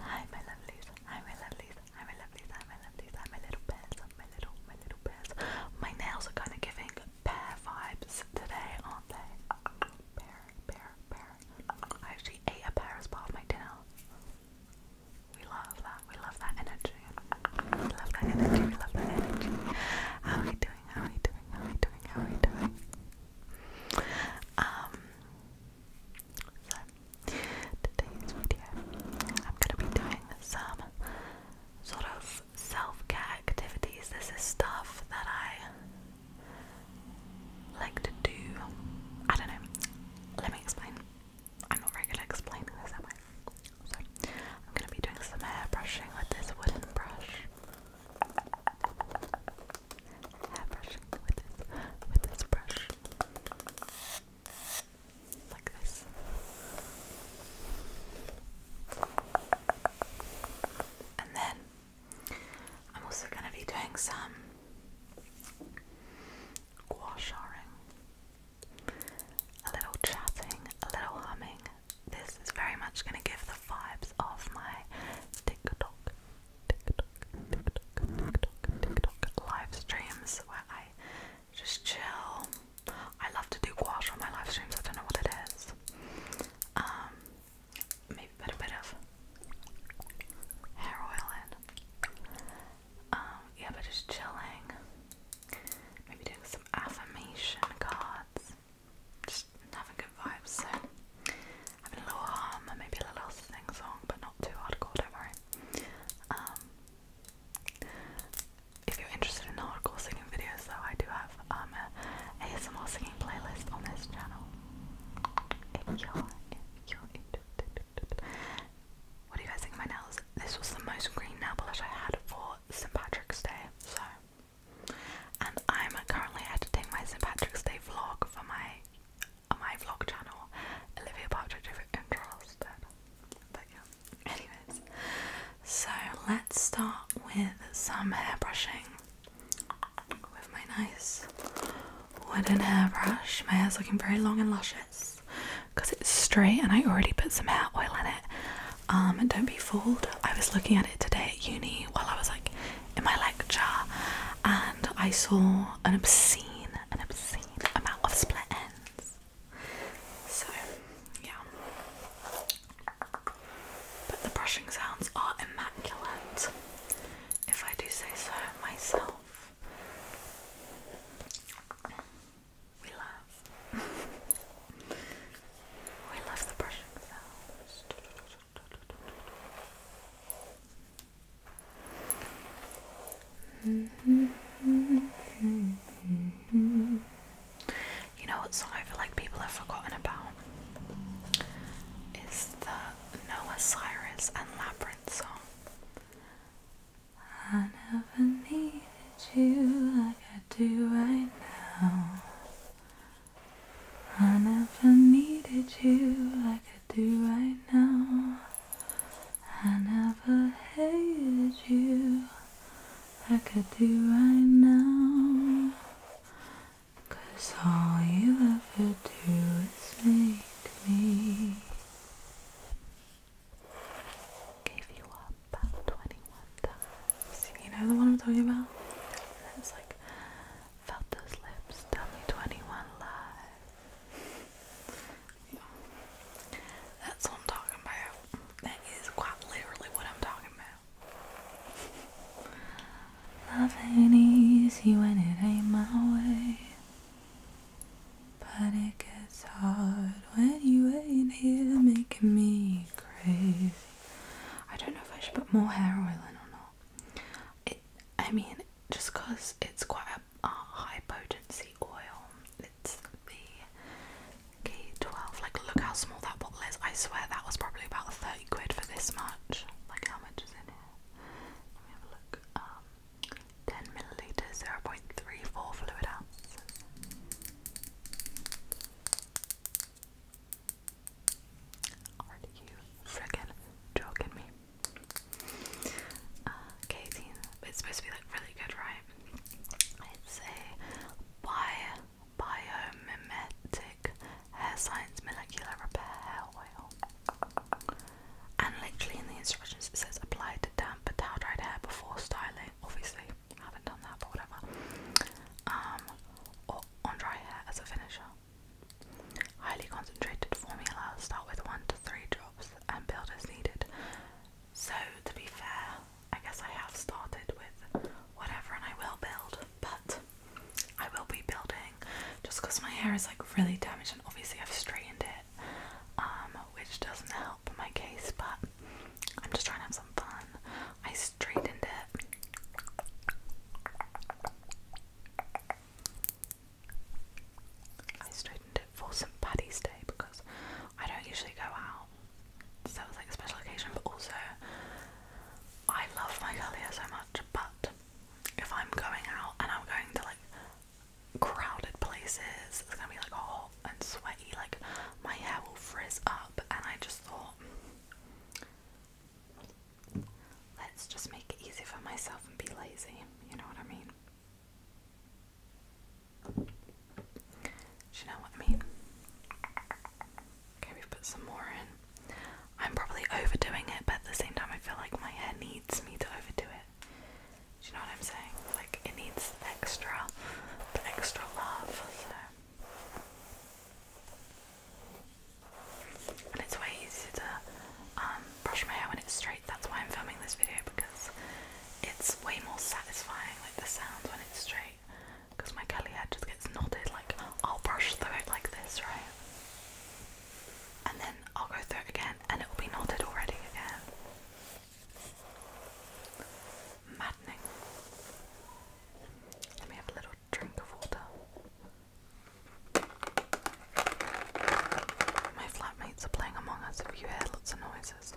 Hi my lovelies, hi my lovelies, hi my lovelies, hi my lovelies, hi my little pairs, my little, my little pairs. My nails are kind of giving pear vibes today, aren't they? Pear, pear, pear. I actually ate a pear as part of my dinner. We love that, we love that energy. We love that energy, we love that energy. How are we doing? How are we doing? How are we doing? How are we doing? Um so, today's video, I'm going to be doing some sort of self care activities. This is stuff that I like to do. I don't know. Let me explain. I'm not very good at explaining this, am I? So, I'm going to be doing some hair brushing with this wooden brush brushing with this, with this brush. Like this. And then I'm also going to be doing some gouacharing. A little chatting, a little humming. This is very much going to give the vibes of my TikTok TikTok, TikTok, TikTok, TikTok live streams where I just chill. I love to do gouache on my live streams. I don't know what it is. Um, maybe a bit of hair oil in. Um, yeah, but just chilling. Maybe doing some affirmation cards. Just having good vibes. I a little hum and maybe a little sing song, but not too hardcore, don't worry. Um, if you're interested in hardcore singing videos, though, I do have um, a ASMR singing playlist on this channel. If are you guys think my nails? This was the most green nail polish I had for St. Patrick's Day, so. And I'm currently editing my St. Patrick's Day vlog for my on my vlog channel, Olivia Partridge if you're interested. anyways. So let's start with some hair brushing with my nice wooden hairbrush. My hair's looking very long and luscious because it's straight and I already put some hair oil in it. Um, and don't be fooled, I was looking at it today at uni while I was like in my lecture and I saw out an obscene, an obscene amount of split ends. So, yeah. But the brushing sounds are immaculate, if I do say so myself. We love. we love the brushing sounds. You know what song I feel like people have forgotten about? Is the Noah Cyrus and Labyrinth song. I never needed you like I do right now. I never needed you like do right now. I never hated you. I could do right now. Cause all you ever do is make me give you up 21 times. You know the one I'm talking about? It's like Felt those lips. Tell me 21 live. That's what I'm talking about. That is quite literally what I'm talking about. Love ain't easy when it ain't my way. But it gets hard when you ain't here making me crazy. I don't know if I should put more hair oil in or not. It, I mean, just because it's quite a, high potency oil. It's the K12. Like, look how small that bottle is. I swear that was probably about 30 quid for this much. Like, how much is in here? Let me have a look. Um, 10 milliliters, 0.34 fluid ounces. Are you freaking joking me? Uh, it's supposed to be like really good, right? It's a bio, biomimetic hair science molecular repair hair oil. And literally in the instructions it says apply to damp but towel dried hair before styling. Obviously, haven't done that, but whatever. Um, or on dry hair as a finisher. Highly concentrated formulas start with one to three drops and build as needed. So, to be fair, I guess I have started with whatever and I will build, but I will be building just because my hair is like really damaged and obviously I've straightened it, um, which doesn't help my case, but I'm just trying to have some fun. I straightened it. I straightened it for some Paddy's Day because I don't usually go out, so it was like a special occasion. But also, I love my hair so much. But if I'm going out and I'm going to like crowded places, it's gonna be like hot and sweaty. Like my hair will frizz up, and I just thought let's just make it easy for myself and be lazy. You know what I mean? Do you know what I mean? Okay, we put some more in. I'm probably overdoing it, but at the same time, I feel like my hair needs me to overdo it. Do you know what I'm saying? Like, it needs extra, extra love, so and it's way easier to um, brush my hair when it's straight. That's why I'm filming this video because it's way more satisfying, like the sounds when it's straight. Because my curly hair just gets knotted. Like I'll brush through it like this, right? And then I'll go through it again, and it will be knotted already again. Maddening. Let me have a little drink of water. My flatmates are playing Among Us if you heard lots of noises.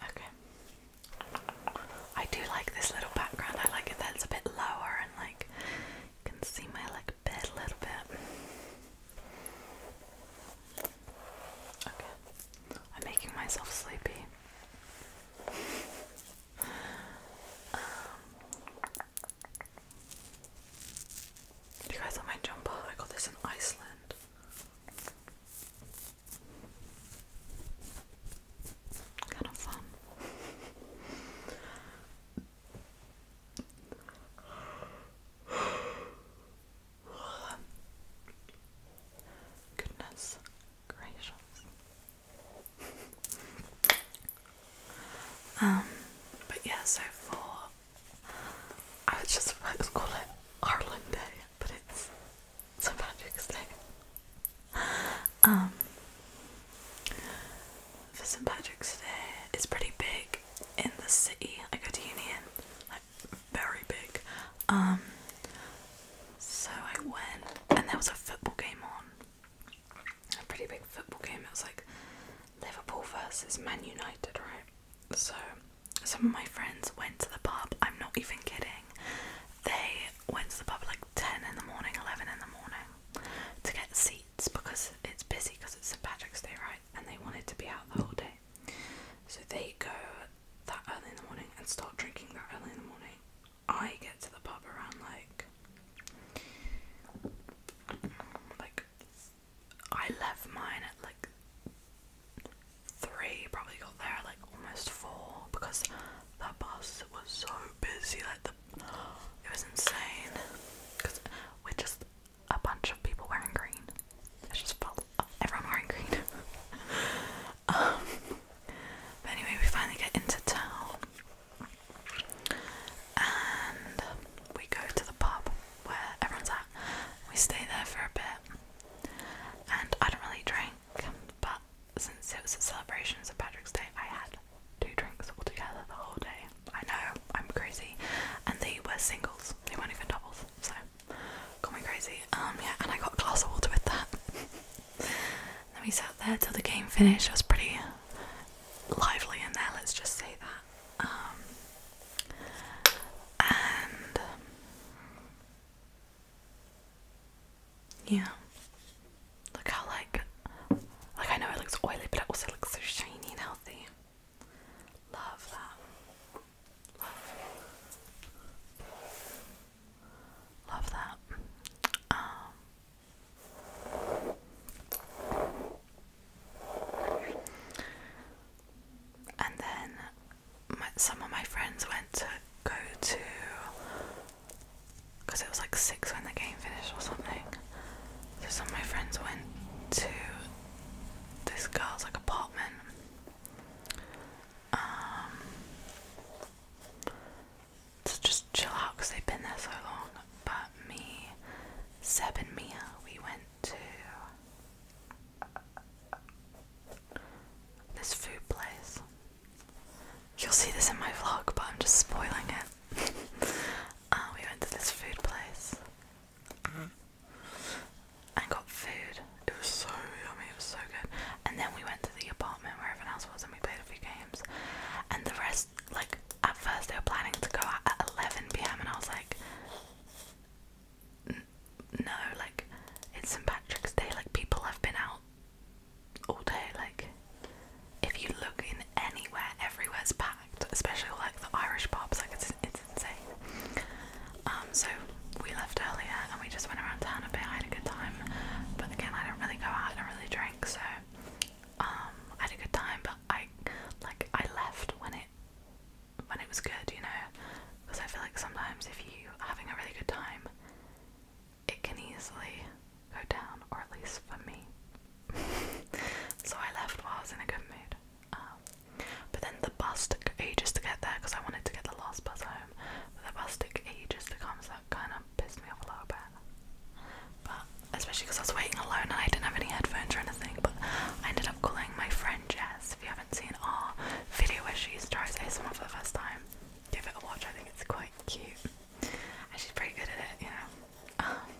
Okay. I do like this little background. I like it that it's a bit lower and like you can see my like bed a little bit. Okay. I'm making myself sleepy. Um, you guys like my jumper? I got this in Iceland. Kind of fun. Goodness gracious. Um, but yeah, so for I was just about to call it Ireland Day, but it's St Patrick's Day. Um for St. Patrick's Day. It's pretty big in the city I go to Union, like very big. Um, so I went, and there was a football game on. A pretty big football game. It was like Liverpool versus Man United, right? So some of my friends went to the pub. I'm not even kidding. They went to the pub like 10 in the morning, 11 in the morning to get seats gates because it's busy because it's St Patrick's Day, right? And they wanted to be out the whole day, so they go that early in the morning and start drinking that early in the morning. I get to the pub around like like I left mine at like three, probably got there like almost four because the bus was so busy, like the it was insane because we're just a bunch of people wearing green. It just felt everyone wearing green. Um, but anyway, we finally get into town and we go to the pub where everyone's at. We stay there for a bit, and I don't really drink, but since it was a celebration, so Patrick's Day, I had two drinks altogether the whole day. I know, I'm crazy. And they were singles, they weren't even doubles, so got me crazy. Um yeah, and I got a glass of water with that. then we sat there till the game finished. It was pretty lively in there, let's just say that. Um, and yeah. Look how like like I know it looks oily but it also looks so shiny and healthy. Love that. Love. that. Um, and then my, some of my friends went to go to because it was like six when the game finished or something. So some of my friends went to this girl's like apartment. Um, to just chill out because they've been there so long. But me, Seb, Mia, we went to this food place. You'll see this in my vlog, but I'm just spoiling it. Ah, we went to this food place and got food. It was so yummy, it was so good. And then we went to the apartment where everyone else was and we played a few games. And the rest, like, at first they were planning to go at 11 pm, and I was like, no, like, it's St. Patrick's Day, like, people have been out all day. Like, if you look in anywhere, everywhere's packed, especially like the Irish pubs. Like, it's it's insane. Um, so we left earlier and we just went around town a bit. I had a good time, but again, I don't really go out. I don't really drink, so um, I had a good time. But I like I left when it when it was good, you know, because I feel like sometimes if you are having a really good time it can easily go down, or at least for me. so I left while I was in a good mood. Um, but then the bus took ages to get there because I wanted to get the last bus home. But the bus took ages to come, so that kind of pissed me off a little bit. But especially because I was waiting alone and I didn't have any headphones or anything. But I ended up calling my friend Jess. If you haven't seen our video where she tries ASMR for the first time, give it a watch. I think it's quite cute and she's pretty good at it, you know. Um,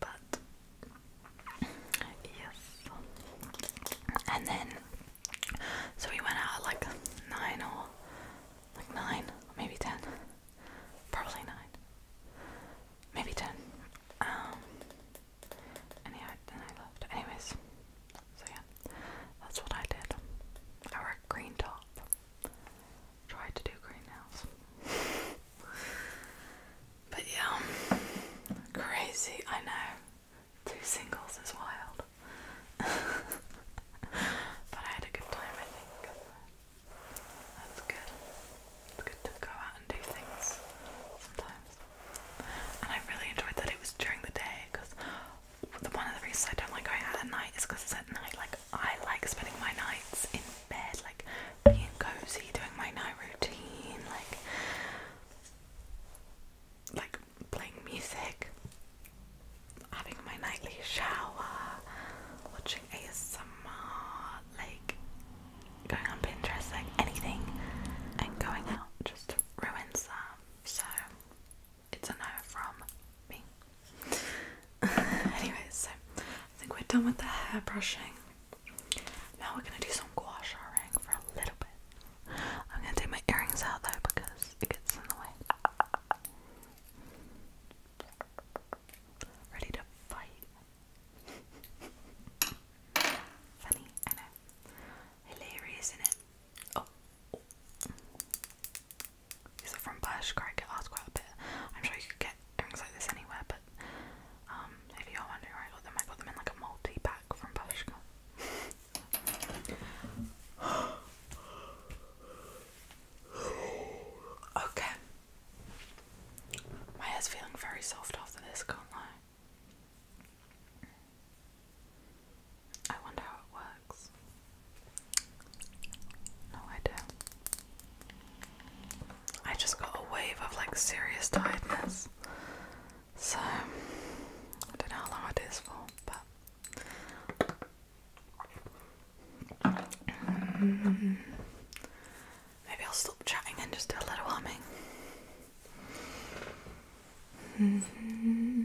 but yes, and then so we went out like nine or like nine, maybe ten, probably nine, maybe ten. Um, then I left. Anyways, so yeah, that's what I did. I wore green top try to do greenhouse. but yeah, crazy, I know. Two singles is wild. but I had a good time, I think. That's good. It's good to go out and do things sometimes. And I really enjoyed that it was during the day because the one of the reasons I don't like going out at night is because it's at night. Like I like spending my nights in bed, like being cozy, doing my night routine, like like playing music, having my nightly shower, watching ASMR, like going on Pinterest, like anything, and going out just ruins that. So it's a no from me. Anyways, so I think we're done with the hair brushing. Now we're gonna do some gouache sha ring for a little bit. I'm gonna take my earrings out though because it gets in the way. Ready to fight. Funny, I know. Hilarious, isn't it? Oh. These are from Bershka. I get asked quite a bit. I'm sure you could get things like this anywhere, but um, if you're wondering where I got them, I got them in like a multi pack from Bershka. okay. My hair's feeling very soft after this, can't lie. I wonder how it works. No idea. I just got a wave of like serious tiredness. So, I don't know how long it is for, but. Mm-hmm. maybe I'll stop chatting and just do a little humming. Mm-hmm.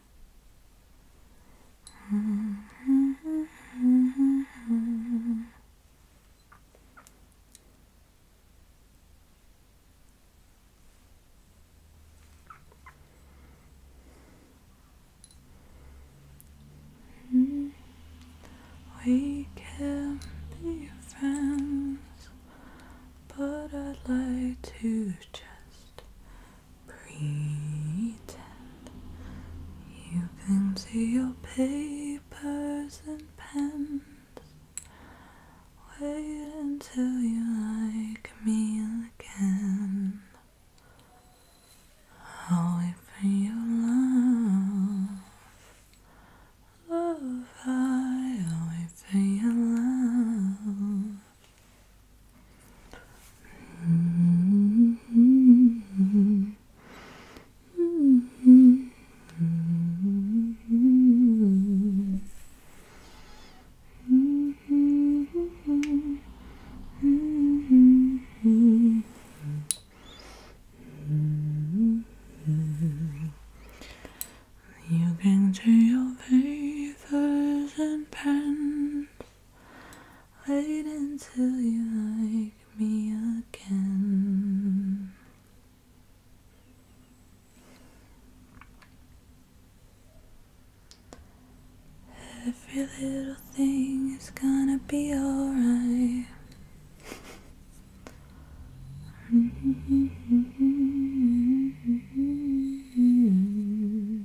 Mm-hmm. We can be friends, but I'd like to just Pretend you can see your papers and pens. Wait until you like me again. I'll wait for your love. Love, I'll wait for your love. You can see your faithers and pens Wait until you like me again. Every little thing is gonna be alright.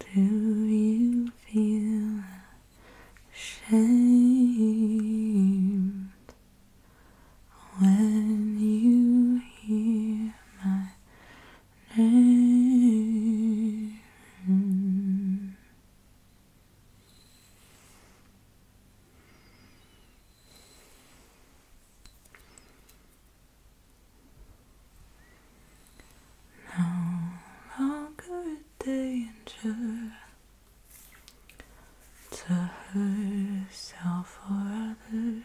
Do you feel ashamed when you hear my no longer danger to herself or others.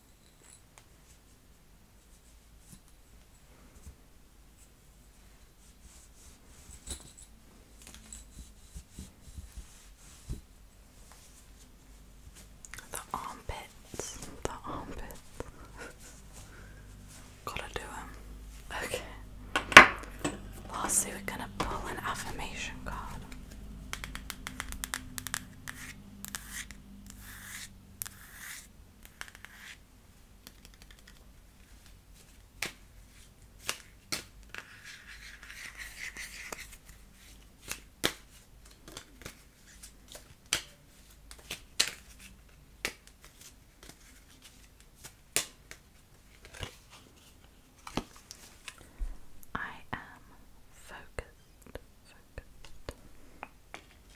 The armpits, the armpits. Gotta do them. Okay. Lastly, we're gonna pull an affirmation card. I am focused, there is only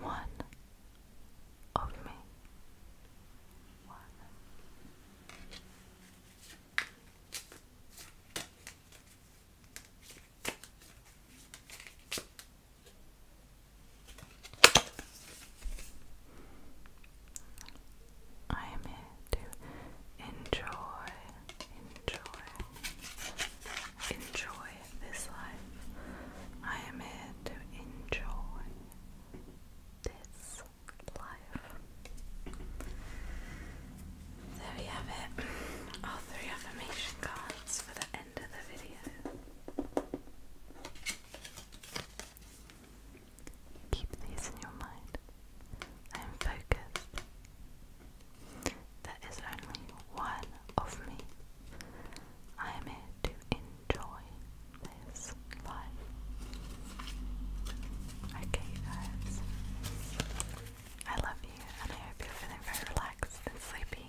one of me. One. I am here to enjoy, enjoy, enjoy this life. I am here to enjoy this life. There we have it. Our three affirmation cards for the end of the video. Keep these in your mind. I focused. There is only one of me. I am here to enjoy this life. Okay, guys. I love you and I hope you're feeling very relaxed and sleepy